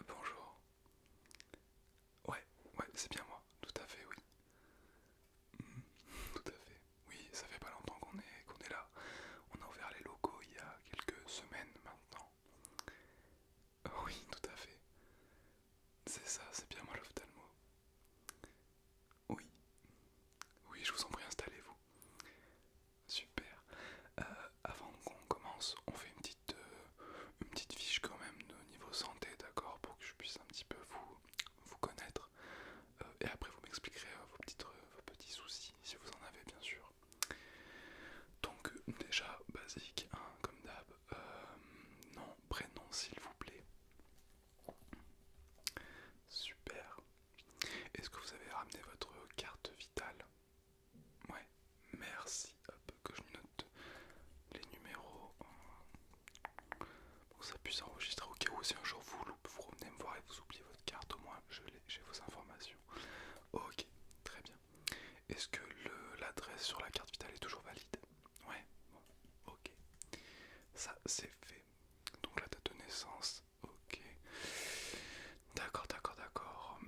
Euh, bonjour. Ouais, ouais, c'est bien moi, tout à fait, oui. Hmm, tout à fait. Oui, ça fait pas longtemps qu'on est, qu'on est là. On a ouvert les locaux il y a quelques semaines maintenant. Euh, oui, tout à fait. C'est ça, c'est bien moi l'ophtalmo. Oui. Oui, je vous en prie, installez-vous. Super. Euh, avant qu'on commence, on fait une petite, euh, une petite fiche quand même de niveau santé, d'accord, pour que je puisse un petit peu vous, vous connaître. Euh, et après, vous m'expliquerez euh, vos, petites, petits soucis, si vous en avez bien sûr. Donc déjà, basique, hein, comme d'hab, nom, prénom s'il vous plaît. Super. Est-ce que vous avez ramené votre carte vitale Ouais, merci. Hop, que je note les numéros pour que ça puisse enregistrer. ok, ou si un jour vous loupez, vous me voir et vous oubliez votre carte, au moins je j'ai vos informations. Ok, très bien. Est-ce que l'adresse sur la carte vitale est toujours valide Ouais, ok. Ça, c'est fait. Donc la date de naissance, ok. D'accord, d'accord, d'accord.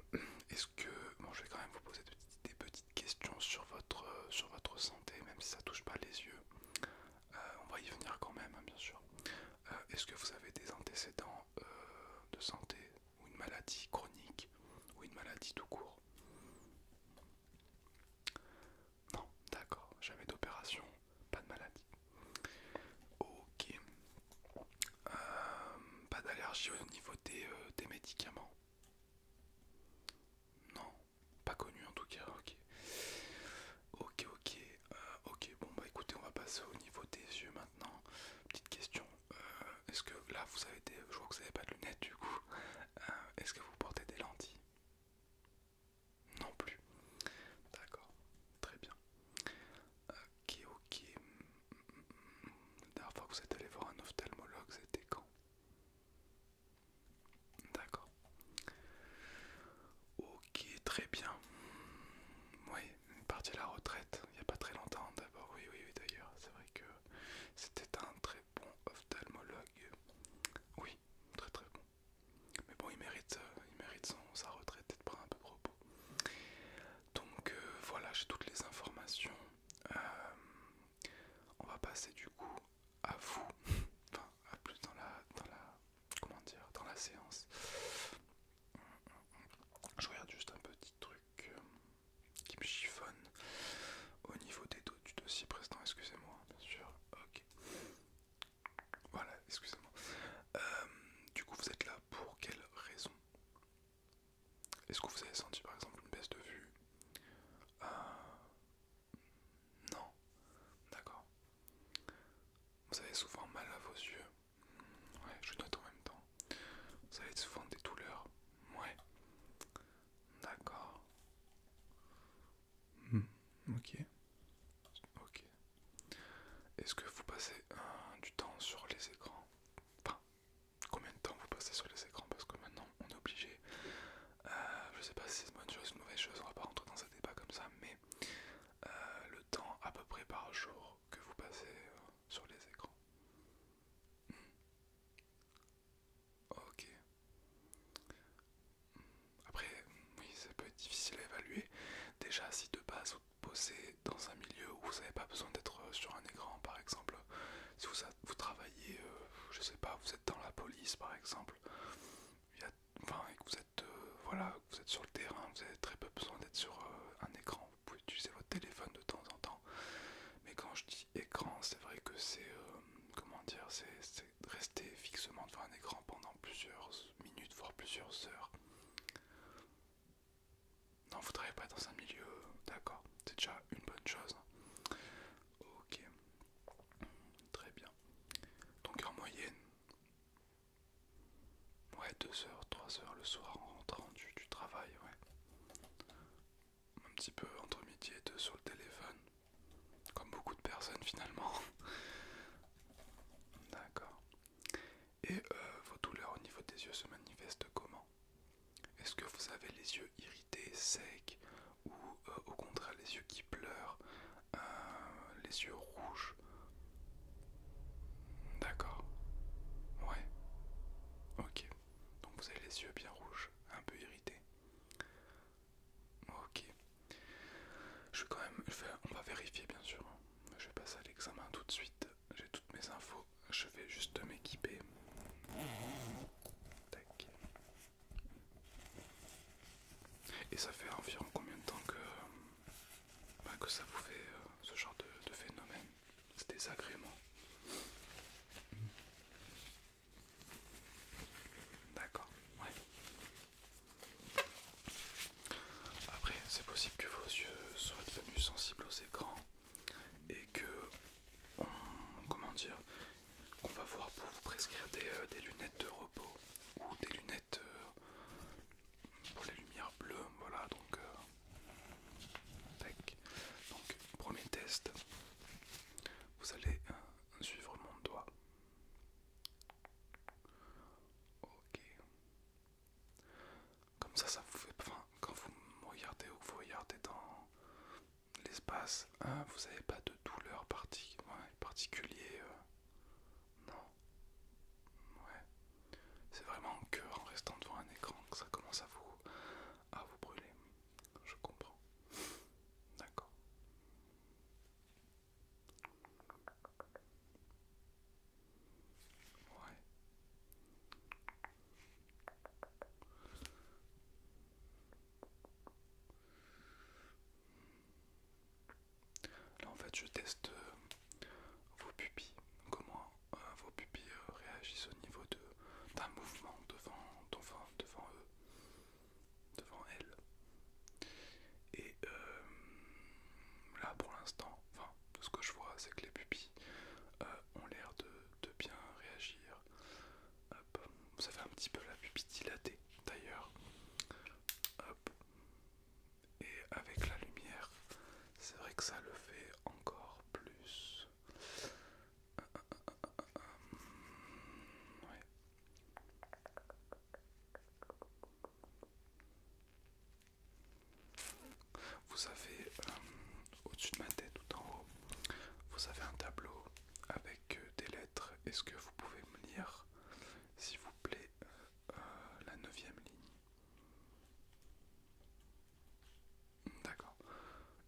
Est-ce que... Bon, je vais quand même vous poser des, petites questions sur votre, euh, sur votre santé, même si ça touche pas les yeux. Euh, on va y venir quand même, hein, bien sûr. Euh, est-ce que vous avez des antécédents de santé ou une maladie chronique ou une maladie tout court Non, d'accord. Jamais d'opération, pas de maladie. Ok, euh, pas d'allergie au niveau euh, des, médicaments. Non, pas connu en tout cas, ok. Ok, ok, euh, ok, bon bah écoutez, on va passer au niveau des yeux maintenant. Petite question, est-ce que là vous avez des... Je vois que vous n'avez pas de lunettes du coup. est-ce que vous portez des lentilles Non plus. D'accord, très bien. Ok, ok. La dernière fois que vous êtes allé voir un ophtalmologue, c'était quand D'accord. Ok, très bien. Oui, est parti à la retraite, il n'y a pas très longtemps d'abord. Oui, oui, oui, d'ailleurs, c'est vrai que c'était un très bon ophtalmologue. Oui, très très bon. Mais bon, il mérite, euh, il mérite sa retraite de prendre un peu propos. Donc euh, voilà, j'ai toutes les informations. Euh, on va passer du coup à vous, enfin à plus dans la, dans la, comment dire, dans la séance. Je regarde juste un petit truc euh, qui me chiffonne au niveau des dos du dossier présent, Excusez-moi, bien sûr. Ok. Voilà, excusez-moi. Euh, du coup, vous êtes là pour quelle raison Est-ce que vous avez senti par exemple une baisse de vue euh, Non. D'accord. Vous avez souvent mal à vos yeux. Ouais, je note en même temps. Vous avez souvent des douleurs. Ouais. D'accord. Hmm, ok. Ok. Est-ce que vous passez euh, du temps sur les écrans Enfin, combien de temps vous passez sur les écrans Parce que maintenant, on est obligé. Je euh, je sais pas si c'est une bonne chose ou une mauvaise chose, on va pas rentrer dans un débat comme ça, mais euh, le temps à peu près par jour que vous passez sur les écrans. Hmm. Ok. Hmm. Après, oui, ça peut être difficile à évaluer. Déjà, si de base, poser dans un milieu où vous n'avez pas besoin d'être euh, sur un écran par exemple. Si vous, vous travaillez, euh, je sais pas, vous êtes dans la police par exemple, il et que vous êtes, euh, voilà, vous êtes sur le terrain, vous avez très peu besoin d'être sur un écran. Vous pouvez utiliser votre téléphone de temps en temps. Mais quand je dis écran, c'est vrai que c'est, comment dire, c'est rester fixement devant un écran pendant plusieurs minutes, voire plusieurs heures. Non, vous travaillez pas dans un milieu, d'accord, c'est déjà une bonne chose. Ok, très bien. Donc en moyenne, ouais, 2 heures, 3 heures le soir en rentrant du, du travail, ouais. Un petit peu entre midi et deux sur le téléphone, comme beaucoup de personnes finalement. D'accord. Et euh, vos douleurs au niveau des yeux se manifestent comment Est-ce que vous avez les yeux irrités, secs, ou euh, au contraire les yeux qui pleurent, euh, les yeux rouges D'accord. Ouais. Ok. Donc vous avez les yeux bien rouges, un peu irrités. Ok. Je vais quand même. On va vérifier bien sûr. Je vais passer à l'examen tout de suite. J'ai toutes mes infos. Je vais juste m'équiper. Et ça fait environ combien de temps que, bah, que ça vous fait euh, ce genre de, phénomène C'est désagrément. D'accord, ouais. Après, c'est possible que vos yeux soient devenus sensibles aux écrans et que, comment dire, qu'on va voir pour vous prescrire des, euh, lunettes de repos ou des lunettes euh, pour les lumières bleues. Voilà, donc, euh, donc premier test, vous allez suivre mon doigt. Ok. Comme ça, ça vous fait. Enfin, quand vous regardez ou vous regardez dans l'espace, hein, vous n'avez pas de douleur particulière. particulier. Euh, non. Ouais. C'est vraiment que en restant devant un écran que ça commence à vous, à vous brûler. Je comprends. D'accord. Là en fait je teste euh, vos pupilles, comment euh, vos pupilles euh, réagissent au niveau d'un mouvement devant, devant eux devant elle. Et euh, là pour l'instant, enfin ce que je vois c'est que les pupilles euh, ont l'air de, bien réagir. Ça fait un petit peu la pupille dilatée d'ailleurs. Et avec la lumière, c'est vrai que ça le fait encore plus. Vous avez euh, au-dessus de ma tête, tout en haut, vous avez un tableau avec euh, des lettres. Est-ce que vous pouvez me lire, s'il vous plaît, euh, la neuvième ligne D'accord.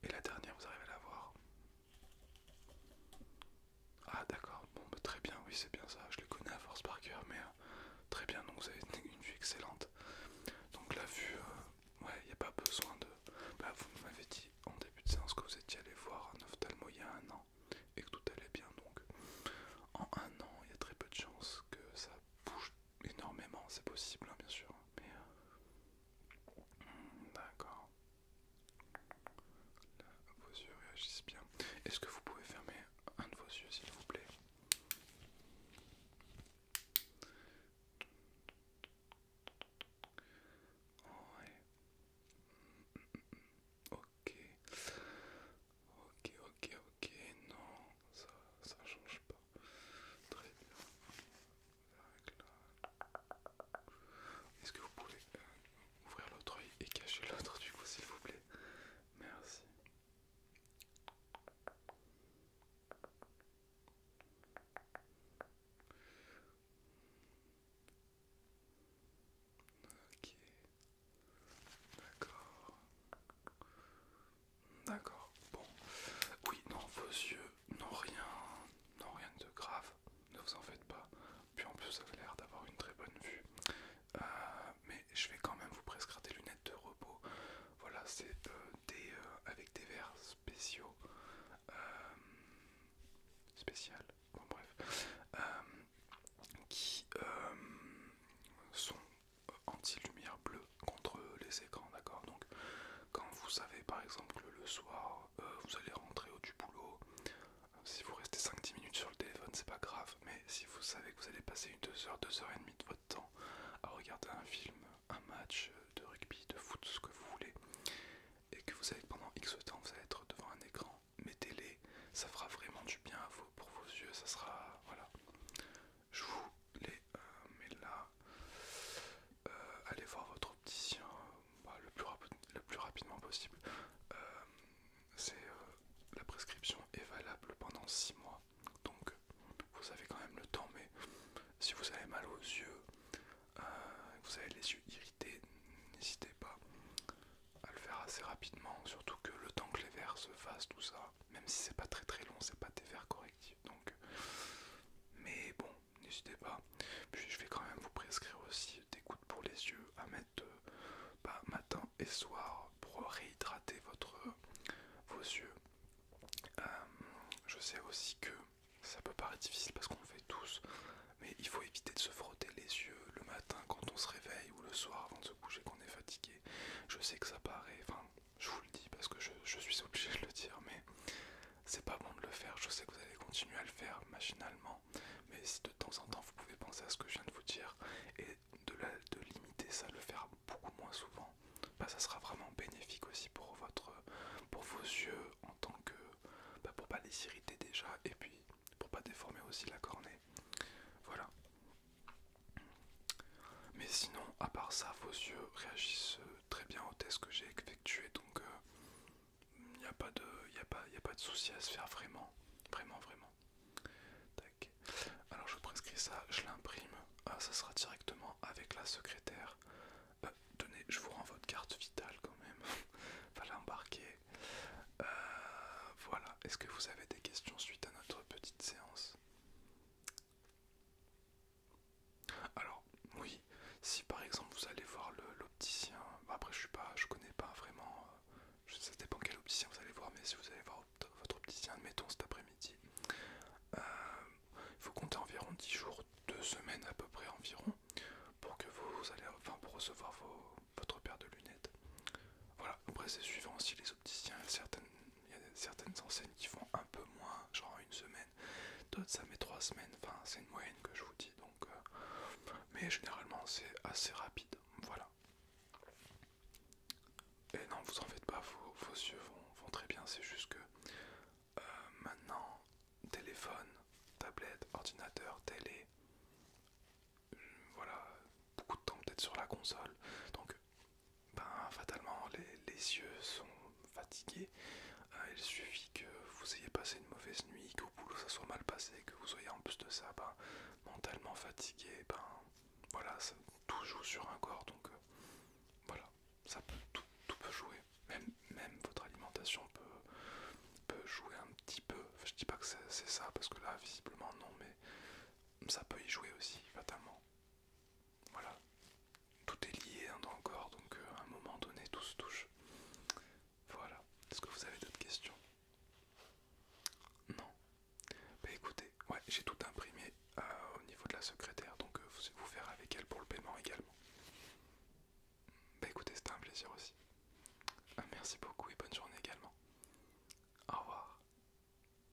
Et la dernière, vous arrivez à la voir ah d'accord, bon bah, très bien, oui c'est bien ça, je les connais à force par cœur, mais euh, très bien, donc vous avez une vue excellente. Donc la vue, euh, ouais, il n'y a pas besoin de... Bah vous m'avez dit en début de séance que vous étiez allé voir un ophtalmo il y a un an et que tout allait bien, donc en un an, il y a très peu de chances que ça bouge énormément, c'est possible hein, bien sûr, hein, mais... Euh, hmm, d'accord, vos yeux réagissent bien. Est-ce que vous pouvez fermer un de vos yeux, s'il vous plaît Ouais. Ok. Ok, ok, ok. Non, ça, ça change pas. Très bien. Est-ce que vous pouvez euh, ouvrir l'autre œil et cacher l'autre du coup s'il vous plaît Merci. Ok. D'accord. D'accord. Bon. Oui, non, vos yeux n'ont rien, non, rien de grave, ne vous en faites pas. Puis en plus, ça a l'air d'avoir une très bonne vue. Euh, mais je vais quand même vous prescrire des lunettes de repos. Voilà, c'est euh, des euh, avec des verres spéciaux. spéciales bon bref. qui sont anti-lumière bleue contre les écrans, d'accord Donc, quand vous savez par exemple le soir euh, vous allez rentrer au du boulot. Si vous restez 5-10 minutes sur le téléphone, c'est pas grave, mais si vous savez que vous allez passer une 2h, 2h30 de votre temps à regarder un film, un match de rugby, de foot, ce que vous voulez, et que vous savez pendant X temps vous allez être devant un écran, mettez-les, ça fera vraiment du bien pour vos yeux, ça sera. Voilà. Je vous les euh, mets là. Euh, allez voir votre opticien bah, le, plus rapidement possible. Euh, c'est euh, la prescription est valable pendant 6 mois, donc vous avez quand même le temps. Mais si vous avez mal aux yeux, vous avez les yeux irrités, n'hésitez pas à le faire assez rapidement. Surtout que le temps que les verres se fassent, tout ça, même si c'est pas très très long, c'est pas des verres correctifs. Donc, mais bon, n'hésitez pas. Puis je vais quand même vous prescrire aussi des gouttes pour les yeux à mettre euh, bah, matin et soir pour réhydrater votre, euh, vos yeux. Euh, je sais aussi que ça peut paraître difficile parce qu'on le fait tous, mais il faut éviter de se frotter les yeux le matin quand on se réveille ou le soir avant de se coucher on est fatigué. Je sais que ça paraît, je vous le dis parce que je, suis obligé de le dire, mais c'est pas bon de le faire. Je sais que vous allez continuer à le faire machinalement, mais si de temps en temps vous pouvez penser à ce que je viens de vous dire et de, limiter ça, le faire beaucoup moins souvent, bah, ça sera vraiment bénéfique aussi pour votre, pour vos yeux en tant que, pour bah, pour pas les irriter déjà et puis pour pas déformer aussi la cornée. Voilà. Mais sinon, à part ça, vos yeux réagissent euh, très bien au test que j'ai effectué donc euh, il n'y a pas de il a pas a pas de souci à se faire vraiment vraiment vraiment alors je prescris ça je l'imprime ah, ça sera directement avec la secrétaire euh, tenez je vous rends votre carte vitale quand même va l'embarquer euh, voilà est-ce que vous avez des questions suite à notre petite séance alors, oui, si par exemple vous allez voir l'opticien, bah, après je suis pas, je connais pas vraiment, euh, je, sais pas quel opticien vous allez voir, mais si vous allez voir votre opticien, admettons cet après-midi, euh, il faut compter environ 10 jours, 2 semaines à peu près environ, pour que vous allez, enfin recevoir votre paire de lunettes. Voilà, après c'est suivant si les opticiens, certaines il y a certaines enseignes qui font un peu moins, genre une semaine, d'autres ça met trois semaines, enfin c'est une moyenne que je vous dis donc euh, mais généralement c'est assez rapide, voilà. Et non vous en faites pas, vos, yeux vont, très bien, c'est juste que euh, maintenant téléphone, tablette, ordinateur, télé, euh, voilà, beaucoup de temps peut-être sur la console, donc ben, fatalement les, yeux sont fatigués. Euh, il suffit que vous ayez passé une mauvaise nuit, qu'au boulot ça soit mal passé, que vous soyez en plus de ça ben, mentalement fatigué. Ben voilà, ça, tout joue sur un corps donc euh, voilà, ça tout, peut jouer. Même, même votre alimentation peut, jouer un petit peu. je dis pas que c'est ça parce que là visiblement non, mais ça peut y jouer aussi fatalement. Voilà, tout est lié encore hein, donc euh, à un moment donné, tout se touche. Voilà, est-ce que vous avez d'autres questions Non Bah écoutez, ouais, j'ai tout imprimé euh, au niveau de la secrétaire, donc euh, vous, vous faire avec elle pour le paiement également. Bah écoutez, c'était un plaisir aussi. Ah, merci beaucoup et bonne journée également. Au revoir.